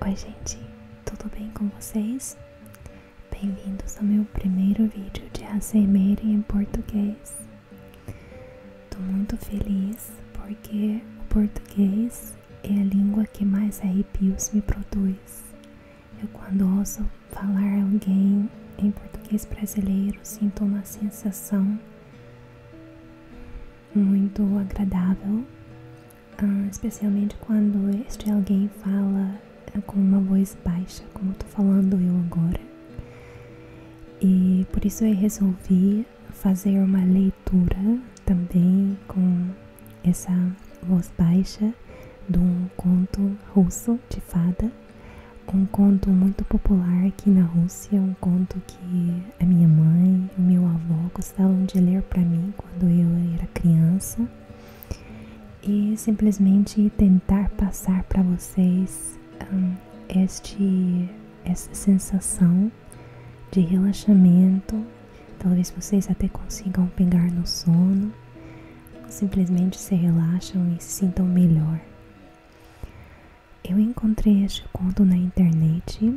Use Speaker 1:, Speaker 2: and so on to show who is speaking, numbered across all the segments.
Speaker 1: Oi gente, tudo bem com vocês? Bem-vindos ao meu primeiro vídeo de ASMR em português. Tô muito feliz porque o português é a língua que mais arrepios me produz. Eu quando ouço falar alguém em português brasileiro sinto uma sensação muito agradável, ah, especialmente quando este alguém fala ah, com uma voz baixa, como estou falando eu agora. E por isso eu resolvi fazer uma leitura também com essa voz baixa de um conto russo de fada, um conto muito popular aqui na Rússia, um conto que a minha mãe o meu avô gostavam de ler para mim quando eu era criança e simplesmente tentar passar para vocês hum, este essa sensação de relaxamento. Talvez vocês até consigam pegar no sono. Simplesmente se relaxam e se sintam melhor. Eu encontrei este conto na internet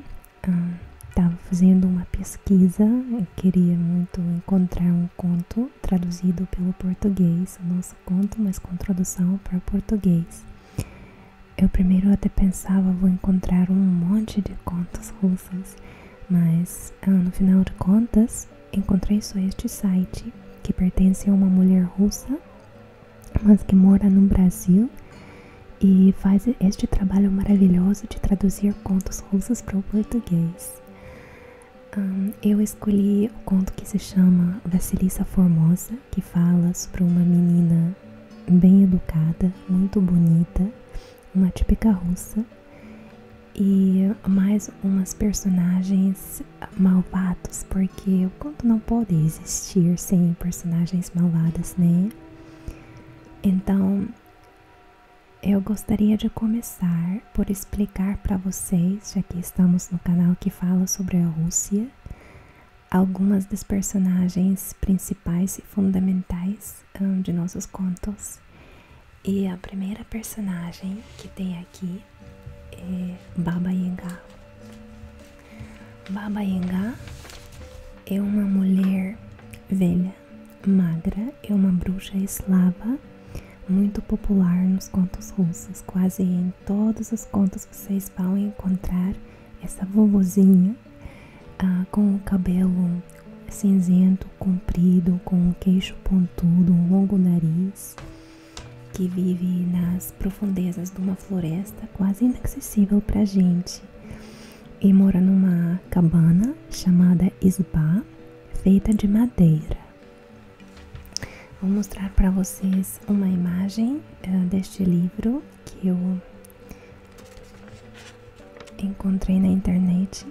Speaker 1: estava fazendo uma pesquisa, eu queria muito encontrar um conto traduzido pelo português, o nosso conto, mas com tradução para português. Eu primeiro até pensava, vou encontrar um monte de contos russos, mas ah, no final de contas encontrei só este site que pertence a uma mulher russa, mas que mora no Brasil e faz este trabalho maravilhoso de traduzir contos russos para o português. eu escolhi o conto que se chama Vassilissa Formosa, que fala sobre uma menina bem educada, muito bonita, uma típica russa, e mais umas personagens malvadas, porque o conto não pode existir sem personagens malvadas, né? Então, eu gostaria de começar por explicar para vocês, já que estamos no canal que fala sobre a Rússia, algumas das personagens principais e fundamentais hum, de nossos contos. E a primeira personagem que tem aqui é Baba Yaga. Baba Yaga é uma mulher Velha, magra, é uma bruxa eslava muito popular nos contos russos. Quase em todos os contos vocês vão encontrar essa vovozinha ah, com o cabelo cinzento, comprido, com o queixo pontudo, um longo nariz, que vive nas profundezas de uma floresta quase inacessível para gente e mora numa cabana chamada Isba, feita de madeira. Vou mostrar para vocês uma imagem eh, deste livro que eu encontrei na internet.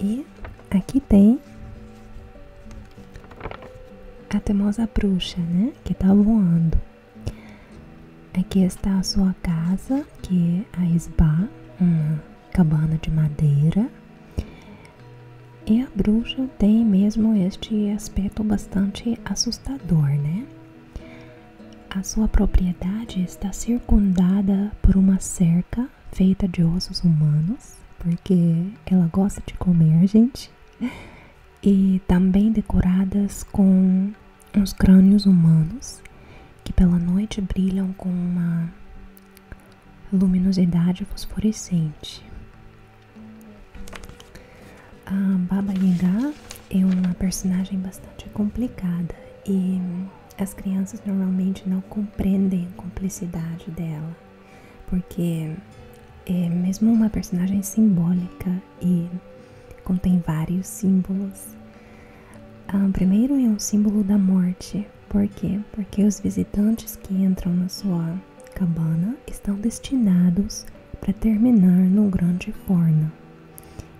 Speaker 1: E aqui tem a temosa bruxa, né? Que está voando. Aqui está a sua casa, que é a esbá, uma cabana de madeira. E a bruxa tem mesmo este aspecto bastante assustador, né? A sua propriedade está circundada por uma cerca feita de ossos humanos, porque ela gosta de comer, gente. E também decoradas com uns crânios humanos que pela noite brilham com uma luminosidade fosforescente. A Baba Yaga é uma personagem bastante complicada e as crianças normalmente não compreendem a complexidade dela, porque é mesmo uma personagem simbólica, e contém vários símbolos. O ah, primeiro é um símbolo da morte. Por Porque os visitantes que entram na sua cabana estão destinados para terminar no grande forno.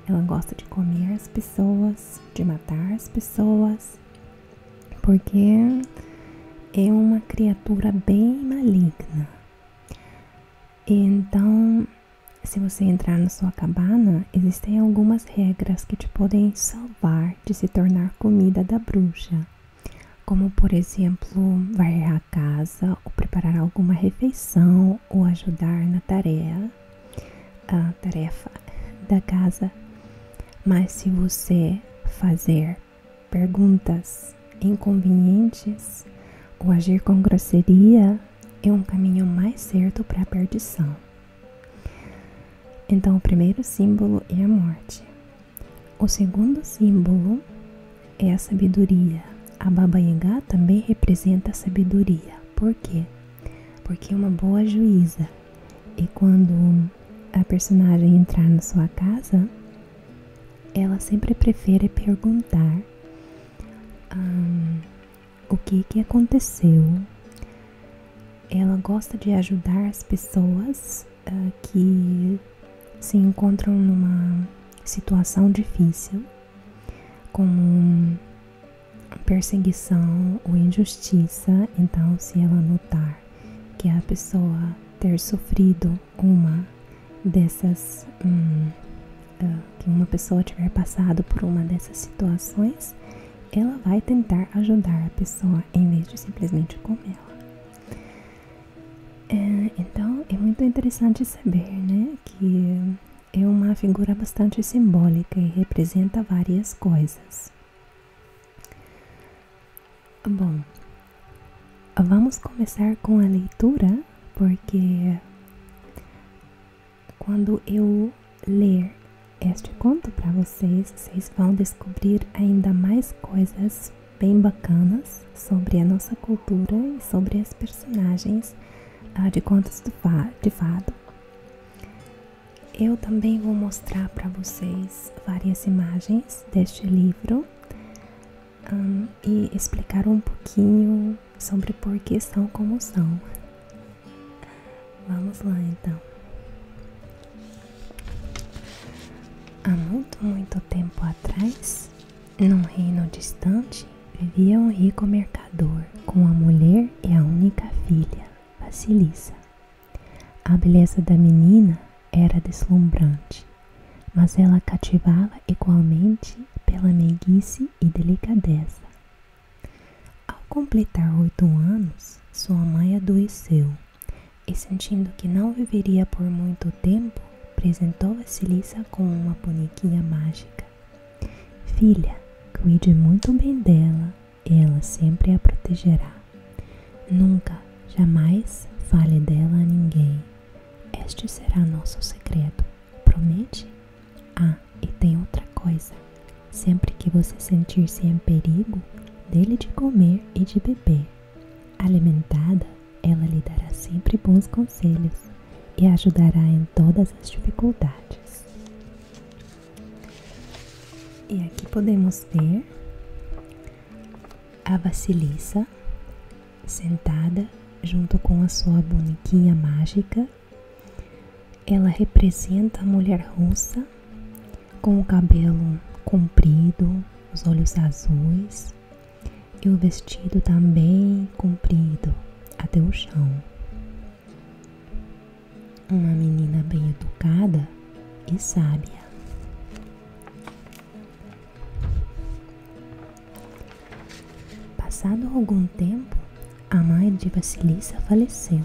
Speaker 1: Ela gosta de comer as pessoas, de matar as pessoas, porque é uma criatura bem maligna. Então, se você entrar na sua cabana, existem algumas regras que te podem salvar de se tornar comida da bruxa, como por exemplo, varrer a casa ou preparar alguma refeição ou ajudar na tarefa, da casa. Mas se você fazer perguntas inconvenientes ou agir com grosseria, é um caminho mais certo para a perdição. Então, o primeiro símbolo é a morte. O segundo símbolo é a sabedoria. A Baba Yaga também representa a sabedoria. Por quê? Porque é uma boa juíza. E quando a personagem entrar na sua casa, ela sempre prefere perguntar o que aconteceu? Ela gosta de ajudar as pessoas ah, que se encontram numa situação difícil, como perseguição ou injustiça. Então, se ela notar que a pessoa ter sofrido uma dessas hum, ah, que uma pessoa tiver passado por uma dessas situações, ela vai tentar ajudar a pessoa em vez de simplesmente comer ela. É, então é muito interessante saber né, que é uma figura bastante simbólica e representa várias coisas. Bom, vamos começar com a leitura, porque quando eu ler este conto para vocês, vocês vão descobrir ainda mais coisas bem bacanas sobre a nossa cultura e sobre as personagens ah, de contos de fado. Eu também vou mostrar para vocês várias imagens deste livro hum, e explicar um pouquinho sobre por que são como são. Vamos lá então. Há muito, muito tempo atrás, num reino distante, vivia um rico mercador com a mulher e a única filha, Vasilissa. A beleza da menina era deslumbrante, mas ela cativava igualmente pela meiguice e delicadeza. Ao completar oito anos, sua mãe adoeceu e, sentindo que não viveria por muito tempo, apresentou a Vasilisa com uma bonequinha mágica. Filha, cuide muito bem dela, ela sempre a protegerá. Nunca, jamais fale dela a ninguém. Este será nosso segredo. Promete? Ah, e tem outra coisa: sempre que você sentir-se em perigo, dele de comer e de beber. Alimentada, ela lhe dará sempre bons conselhos e ajudará em todas as dificuldades. E aqui podemos ver a Vasilissa sentada junto com a sua bonequinha mágica ela representa a mulher russa com o cabelo comprido, os olhos azuis e o vestido também comprido até o chão. Uma menina bem educada e sábia. Passado algum tempo, a mãe de Vasilissa faleceu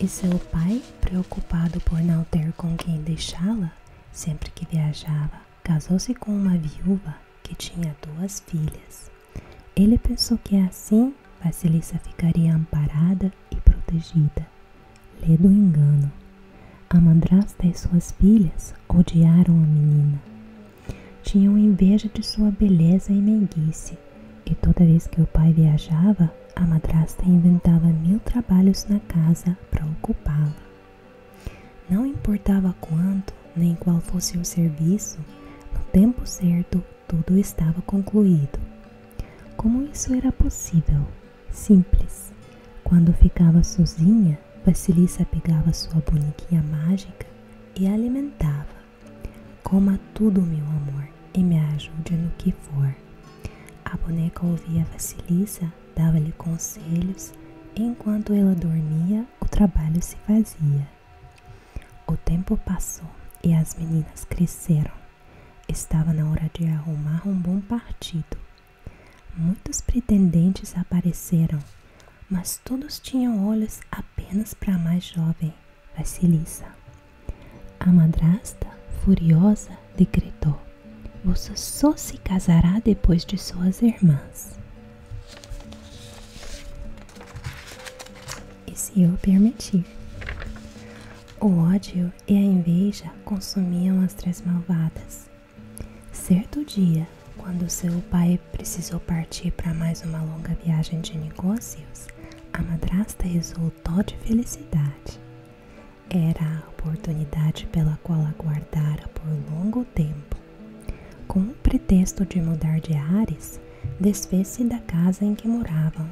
Speaker 1: e seu pai, preocupado por não ter com quem deixá-la, sempre que viajava, casou-se com uma viúva que tinha duas filhas. Ele pensou que assim Vasilissa ficaria amparada e protegida. Lê do engano. A madrasta e suas filhas odiaram a menina tinha inveja de sua beleza e meiguice, e toda vez que o pai viajava, a madrasta inventava mil trabalhos na casa para ocupá-la. Não importava quanto nem qual fosse o serviço, no tempo certo tudo estava concluído. Como isso era possível? Simples. Quando ficava sozinha, Vasilisa pegava sua bonequinha mágica e alimentava. Coma tudo, meu amor, e me ajude no que for. A boneca ouvia Vasilisa, dava-lhe conselhos, e enquanto ela dormia, o trabalho se fazia. O tempo passou e as meninas cresceram. Estava na hora de arrumar um bom partido. Muitos pretendentes apareceram, mas todos tinham olhos apenas para a mais jovem, Vasilisa. A madrasta, furiosa, decretou: Você só se casará depois de suas irmãs. E se eu permitir. O ódio e a inveja consumiam as três malvadas. Certo dia, quando seu pai precisou partir para mais uma longa viagem de negócios, a madrasta exultou de felicidade. Era a oportunidade pela qual aguardara por longo tempo. Com o pretexto de mudar de ares, desfez-se da casa em que moravam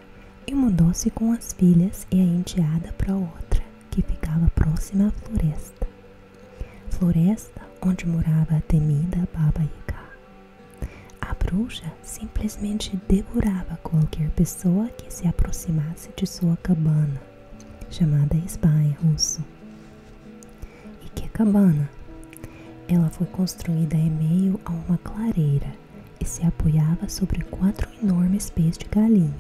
Speaker 1: e mudou-se com as filhas e a enteada para outra, que ficava próxima à floresta. Floresta onde morava a temida Baba Yaga. A bruxa simplesmente devorava qualquer pessoa que se aproximasse de sua cabana, chamada spa em russo. E que cabana? Ela foi construída em meio a uma clareira e se apoiava sobre quatro enormes pés de galinha.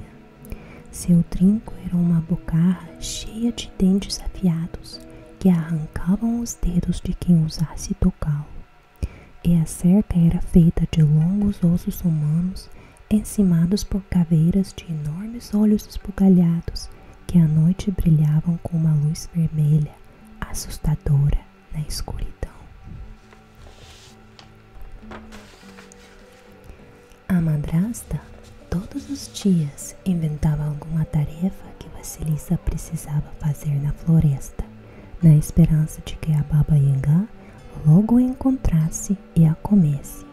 Speaker 1: Seu trinco era uma bocarra cheia de dentes afiados que arrancavam os dedos de quem usasse tocá-lo, e a cerca era feita de longos ossos humanos encimados por caveiras de enormes olhos esbugalhados que à noite brilhavam com uma luz vermelha assustadora na escuridão. A madrasta todos os dias inventava alguma tarefa que Vasilisa precisava fazer na floresta, na esperança de que a Baba Yangá logo a encontrasse e a comesse.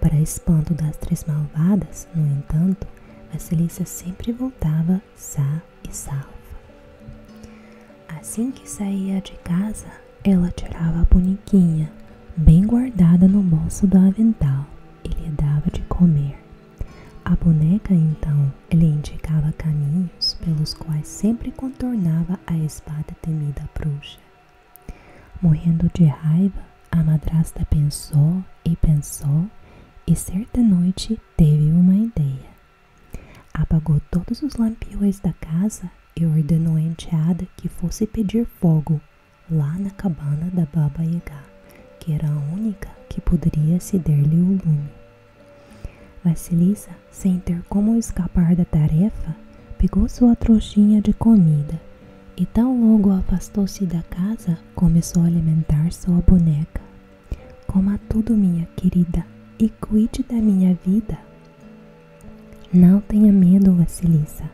Speaker 1: Para espanto das três malvadas, no entanto, Vasilisa sempre voltava sã e salva. Assim que saía de casa, ela tirava a bonequinha, bem guardada no bolso do avental, e lhe dava de comer. A boneca, então, lhe indicava caminhos pelos quais sempre contornava a espada temida bruxa. Morrendo de raiva, a madrasta pensou e pensou, e certa noite teve uma ideia. Apagou todos os lampiões da casa e ordenou à enteada que fosse pedir fogo lá na cabana da Baba Yaga que era a única que poderia ceder-lhe o lume. Vassilisa, sem ter como escapar da tarefa, pegou sua trouxinha de comida e tão logo afastou-se da casa, começou a alimentar sua boneca. Coma tudo, minha querida, e cuide da minha vida. Não tenha medo, Vassilisa.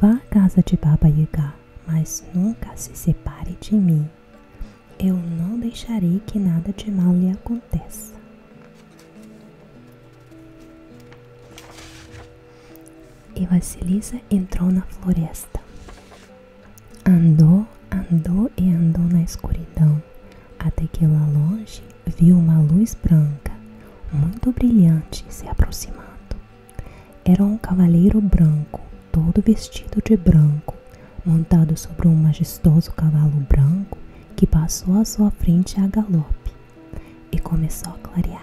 Speaker 1: Vá à casa de Baba Yaga, mas nunca se separe de mim eu não deixarei que nada de mal lhe aconteça. E Vasilisa entrou na floresta. Andou, andou e andou na escuridão, até que lá longe viu uma luz branca, muito brilhante, se aproximando. Era um cavaleiro branco todo vestido de branco, montado sobre um majestoso cavalo branco que passou à sua frente a galope e começou a clarear.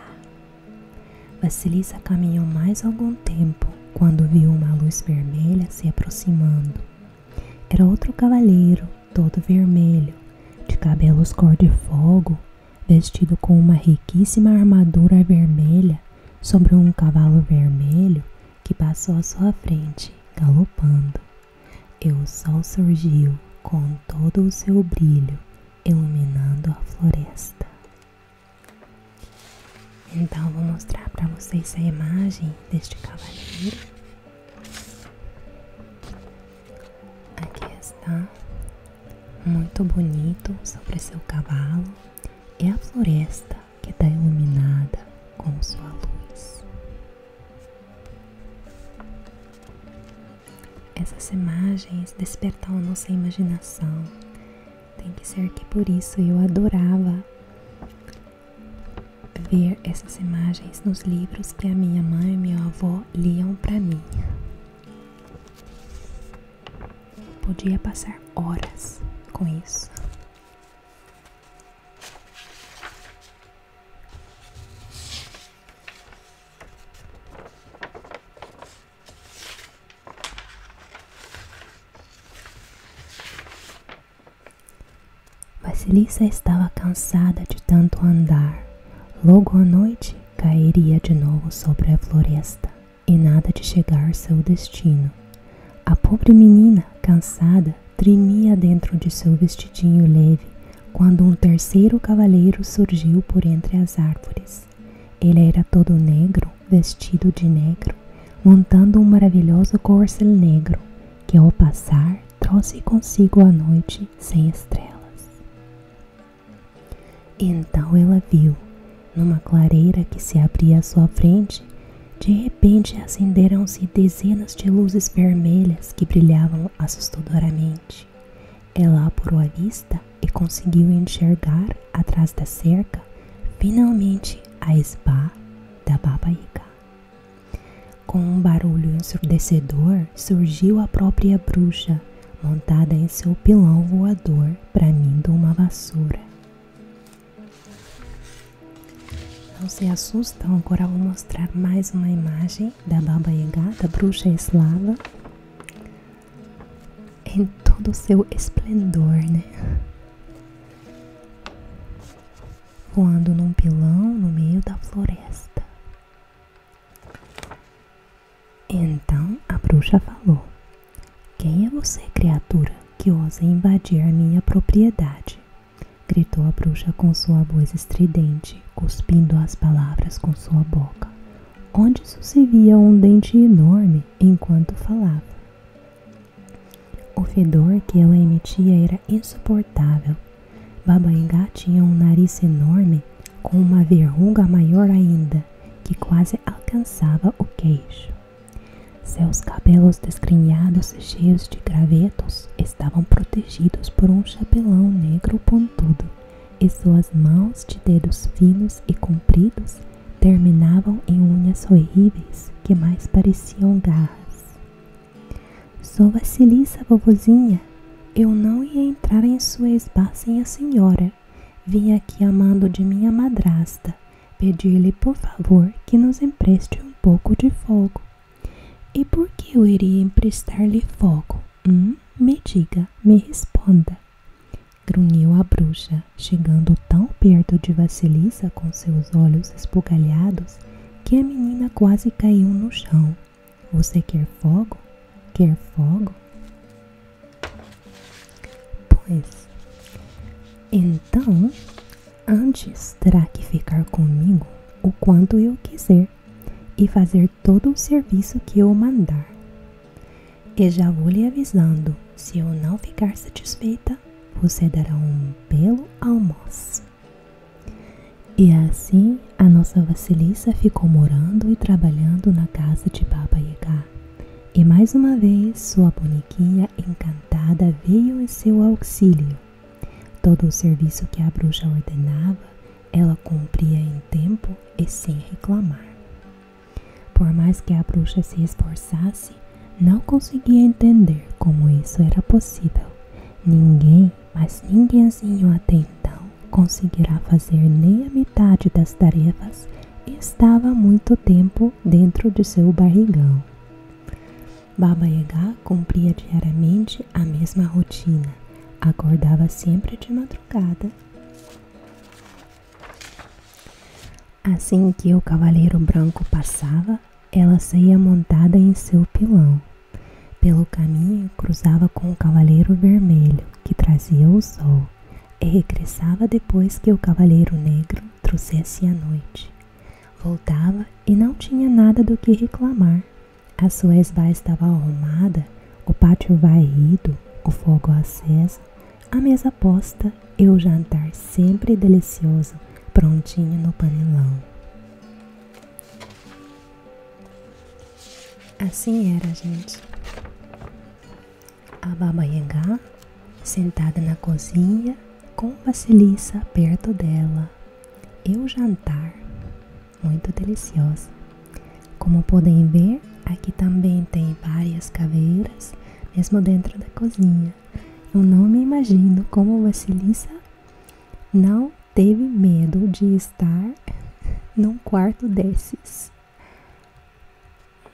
Speaker 1: Vassilisa caminhou mais algum tempo quando viu uma luz vermelha se aproximando. Era outro cavaleiro, todo vermelho, de cabelos cor de fogo, vestido com uma riquíssima armadura vermelha sobre um cavalo vermelho que passou à sua frente, galopando, e o sol surgiu com todo o seu brilho, iluminando a floresta. Então, vou mostrar para vocês a imagem deste cavaleiro. Aqui está, muito bonito sobre seu cavalo, e a floresta que está iluminada com sua luz. Essas imagens despertam a nossa imaginação. Tem que ser que por isso eu adorava ver essas imagens nos livros que a minha mãe e meu avô liam para mim. Podia passar horas com isso. Basilissa estava cansada de tanto andar. Logo a noite cairia de novo sobre a floresta e nada de chegar ao seu destino. A pobre menina, cansada, tremia dentro de seu vestidinho leve quando um terceiro cavaleiro surgiu por entre as árvores. Ele era todo negro, vestido de negro, montando um maravilhoso corcel negro, que ao passar trouxe consigo a noite sem estrelas. Então ela viu numa clareira que se abria à sua frente, de repente acenderam-se dezenas de luzes vermelhas que brilhavam assustadoramente. Ela apurou a vista e conseguiu enxergar, atrás da cerca, finalmente a esbá da Baba Com um barulho ensurdecedor, surgiu a própria bruxa, montada em seu pilão voador, bramindo uma vassoura. Não se assustam, então agora vou mostrar mais uma imagem da Baba Yaga, da bruxa eslava, em todo o seu esplendor, né? Voando num pilão no meio da floresta. Então a bruxa falou: quem é você, criatura, que ousa invadir a minha propriedade? gritou a bruxa com sua voz estridente, cuspindo as palavras com sua boca, onde só um dente enorme enquanto falava. O fedor que ela emitia era insuportável. Baba tinha um nariz enorme, com uma verruga maior ainda, que quase alcançava o queixo. Seus cabelos desgrenhados, cheios de gravetos, estavam protegidos por um chapelão negro pontudo, e suas mãos de dedos finos e compridos terminavam em unhas horríveis que mais pareciam garras. Sou Vasilissa, vovozinha. Eu não ia entrar em sua esbá sem a senhora. Vim aqui amando de minha madrasta Pedi-lhe, por favor, que nos empreste um pouco de fogo. E por que eu iria emprestar-lhe fogo? Hum? Me diga, me responda. Grunhiu a bruxa, chegando tão perto de Vasilisa com seus olhos esbugalhados que a menina quase caiu no chão. Você quer fogo? Quer fogo? Pois. Então, Antes terá que ficar comigo o quanto eu quiser e fazer todo o serviço que eu mandar. E já vou lhe avisando: se eu não ficar satisfeita, você dará um belo almoço. E assim a nossa Vasilissa ficou morando e trabalhando na casa de Baba Yaga. E mais uma vez sua boniquinha encantada veio em seu auxílio. Todo o serviço que a bruxa ordenava, ela cumpria em tempo e sem reclamar. Por mais que a bruxa se esforçasse, não conseguia entender como isso era possível. Ninguém, mas ninguémzinho até então, conseguirá fazer nem a metade das tarefas e estava muito tempo dentro de seu barrigão. Baba Yaga cumpria diariamente a mesma rotina. Acordava sempre de madrugada. Assim que o cavaleiro branco passava, ela saía montada em seu pilão. Pelo caminho, cruzava com o cavaleiro vermelho, que trazia o sol, e regressava depois que o cavaleiro negro trouxesse a noite. Voltava e não tinha nada do que reclamar. A sua esvá estava arrumada, o pátio varrido, o fogo aceso, a mesa posta e o jantar sempre delicioso, prontinho no panelão. Assim era, gente. A Baba Yangá, sentada na cozinha, com Vassiliça perto dela, eu jantar, muito deliciosa. Como podem ver, aqui também tem várias caveiras, mesmo dentro da cozinha. Eu não me imagino como Vassiliça não teve medo de estar num quarto desses.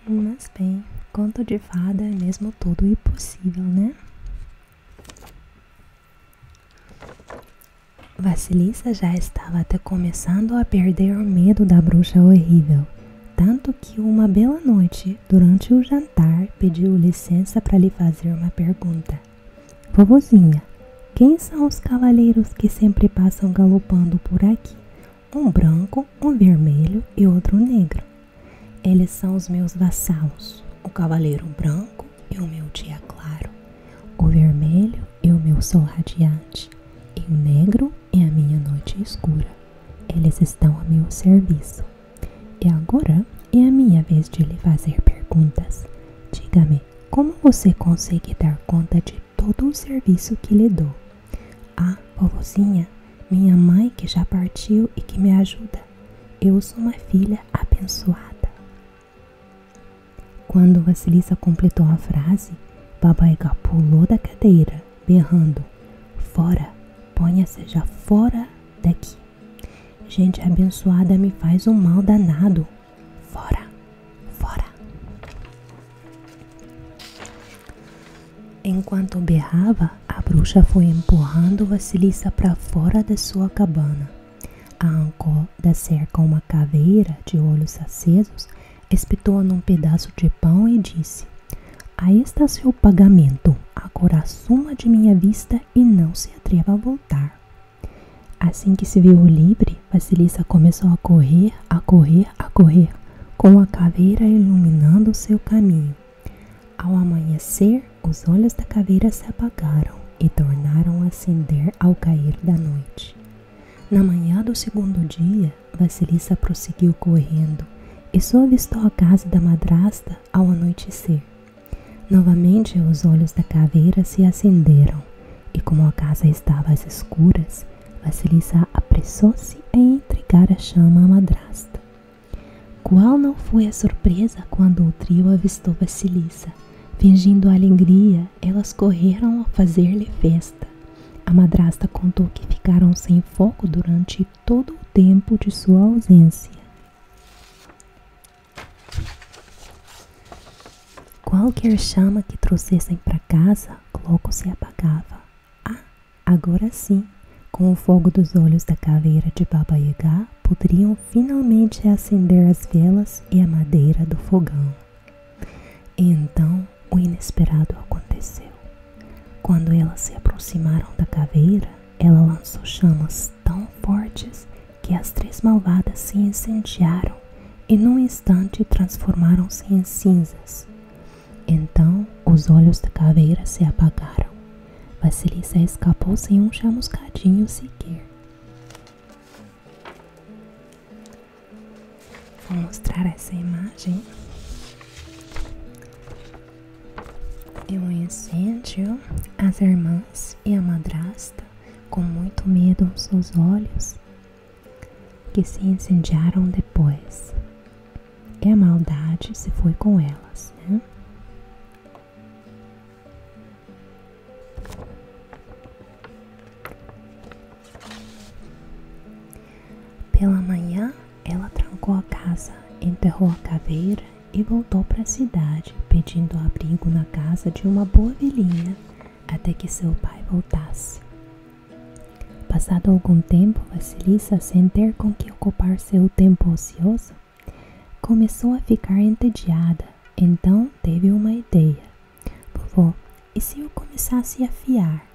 Speaker 1: Mas bem, conto de fada é mesmo tudo impossível, né? Vassilissa já estava até começando a perder o medo da bruxa horrível, tanto que uma bela noite, durante o jantar, pediu licença para lhe fazer uma pergunta. Vovozinha, quem são os cavaleiros que sempre passam galopando por aqui? Um branco, um vermelho e outro negro. Eles são os meus vassalos, o cavaleiro branco e o meu dia claro, o vermelho e o meu sol radiante, e o negro é a minha noite escura. Eles estão a meu serviço. E agora é a minha vez de lhe fazer perguntas. Diga-me, como você consegue dar conta de todo o serviço que lhe dou? Ah, vovozinha, minha mãe que já partiu e que me ajuda eu sou uma filha abençoada. Quando Vasilisa completou a frase, Baba Yaga pulou da cadeira, berrando: Fora, ponha-se já fora daqui. Gente abençoada me faz um mal danado. Fora, fora. Enquanto berrava, a bruxa foi empurrando Vasilisa para fora de sua cabana. Arrancou da cerca uma caveira de olhos acesos, espetou num pedaço de pão e disse: Aí está seu pagamento. Agora suma de minha vista e não se atreva a voltar. Assim que se viu livre, Vasilisa começou a correr, a correr, a correr, com a caveira iluminando seu caminho. Ao amanhecer, os olhos da caveira se apagaram e tornaram a acender ao cair da noite. Na manhã do segundo dia, Vasilisa prosseguiu correndo e só avistou a casa da madrasta ao anoitecer. Novamente, os olhos da caveira se acenderam e, como a casa estava às escuras, Vasilisa apressou-se a entregar a chama à madrasta. Qual não foi a surpresa quando o trio avistou Vasilissa? Fingindo alegria, elas correram a fazer-lhe festa. A madrasta contou que ficaram sem fogo durante todo o tempo de sua ausência. Qualquer chama que trouxessem para casa logo se apagava. Ah, agora sim, com o fogo dos olhos da caveira de Baba Yaga, poderiam finalmente acender as velas e a madeira do fogão. E então o inesperado aconteceu. Quando elas se aproximaram da caveira, ela lançou chamas tão fortes que as três malvadas se incendiaram e num instante transformaram-se em cinzas. Então os olhos da caveira se apagaram Vasilissa escapou sem um chamuscadinho sequer. Vou mostrar essa imagem. É um incêndio. As irmãs e a madrasta, com muito medo aos seus olhos, que se incendiaram depois. E a maldade se foi com elas, né? Pela manhã, ela trancou a casa, enterrou a caveira e voltou para a cidade, pedindo abrigo na casa de uma boa velhinha até que seu pai voltasse. Passado algum tempo, Vasilisa, sem ter com que ocupar seu tempo ocioso, Começou a ficar entediada, então teve uma ideia. Vovó, e se eu começasse a fiar?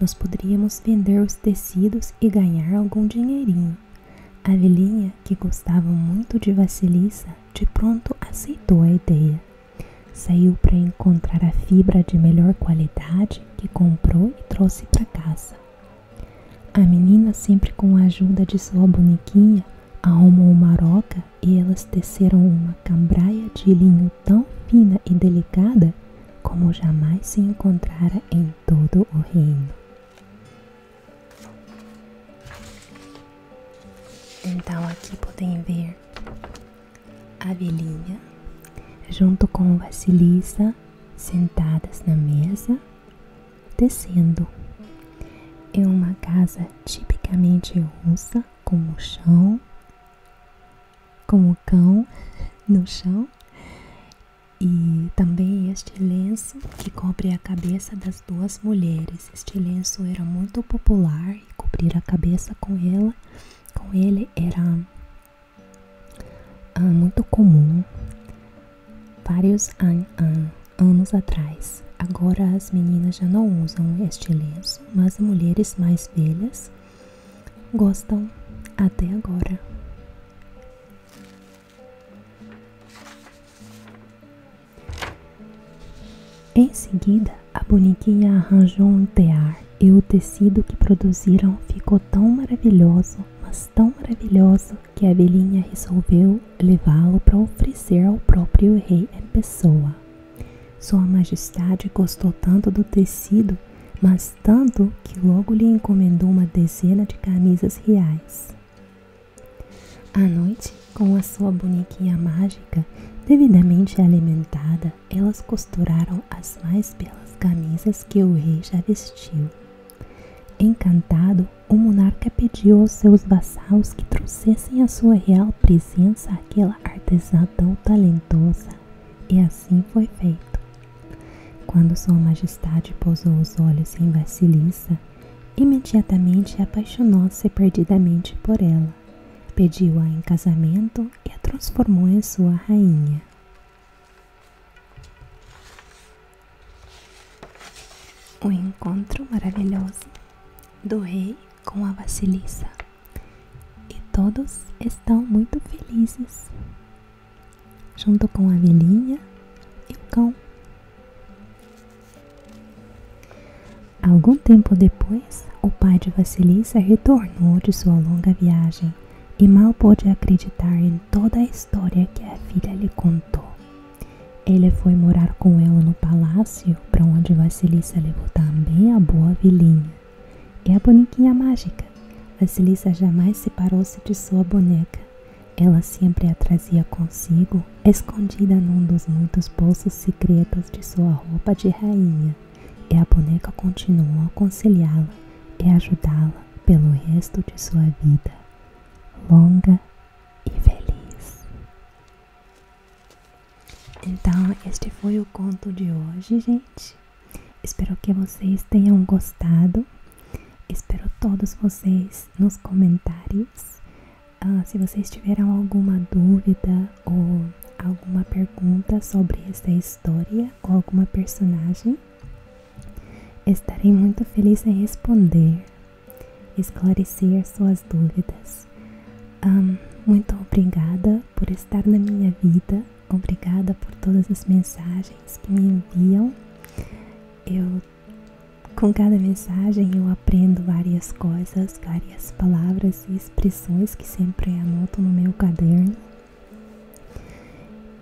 Speaker 1: Nós poderíamos vender os tecidos e ganhar algum dinheirinho. A velhinha, que gostava muito de Vasilissa, de pronto aceitou a ideia. Saiu para encontrar a fibra de melhor qualidade que comprou e trouxe para casa. A menina, sempre com a ajuda de sua bonequinha, arrumou uma roca e elas teceram uma cambraia de linho tão fina e delicada como jamais se encontrara em todo o reino. Então aqui podem ver a velhinha junto com Vasilisa sentadas na mesa descendo. É uma casa tipicamente russa, com o chão, com o cão no chão e também este lenço que cobre a cabeça das duas mulheres. Este lenço era muito popular e cobrir a cabeça com ela, com ele era ah, muito comum Vários anos atrás, agora as meninas já não usam este lenço, mas mulheres mais velhas gostam até agora. Em seguida, a bonequinha arranjou um tear e o tecido que produziram ficou tão maravilhoso, mas tão maravilhoso, que a abelhinha resolveu levá-lo para oferecer ao próprio rei em pessoa. Sua Majestade gostou tanto do tecido, mas tanto que logo lhe encomendou uma dezena de camisas reais. À noite, com a sua bonequinha mágica, devidamente alimentada, elas costuraram as mais belas camisas que o rei já vestiu. Encantado, o monarca pediu aos seus vassalos que trouxessem a sua real presença aquela artesã tão talentosa, e assim foi feito. Quando Sua Majestade pousou os olhos em Vassilissa, imediatamente apaixonou-se perdidamente por ela, pediu-a em casamento e a transformou em sua rainha. O encontro maravilhoso do rei com a Basilissa. E todos estão muito felizes, junto com a velhinha e o cão. Algum tempo depois, o pai de Vasilissa retornou de sua longa viagem e mal pôde acreditar em toda a história que a filha lhe contou. Ele foi morar com ela no palácio, para onde Vasilisa levou também a boa vilinha. E é a Boniquinha mágica. Vasilisa jamais separou-se de sua boneca. Ela sempre a trazia consigo, escondida num dos muitos bolsos secretos de sua roupa de rainha. E a boneca continuou a aconselhá-la e ajudá-la pelo resto de sua vida. Longa e feliz. Então, este foi o conto de hoje, gente. Espero que vocês tenham gostado. Espero todos vocês nos comentários. Ah, se vocês tiverem alguma dúvida ou alguma pergunta sobre essa história ou alguma personagem, Estarei muito feliz em responder, esclarecer suas dúvidas. muito obrigada por estar na minha vida, obrigada por todas as mensagens que me enviam. Eu, com cada mensagem, eu aprendo várias coisas, várias palavras e expressões que sempre anoto no meu caderno.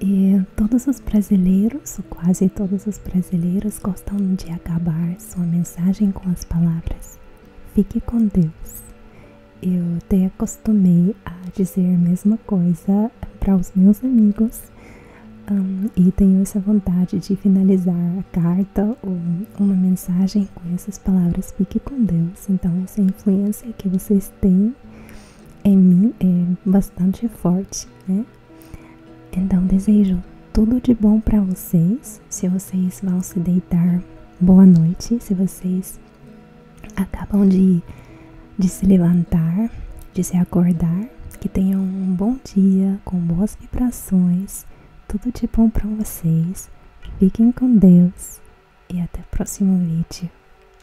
Speaker 1: E todos os brasileiros, ou quase todos os brasileiros, gostam de acabar sua mensagem com as palavras: Fique com Deus. Eu até acostumei a dizer a mesma coisa para os meus amigos hum, e tenho essa vontade de finalizar a carta ou uma mensagem com essas palavras: Fique com Deus. Então, essa influência que vocês têm em mim é bastante forte, né? Então desejo tudo de bom para vocês. Se vocês vão se deitar, boa noite. Se vocês acabam de, de se levantar, de se acordar, que tenham um bom dia com boas vibrações. Tudo de bom para vocês. Fiquem com Deus e até o próximo vídeo.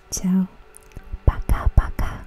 Speaker 1: Tchau. Pacá, pacá.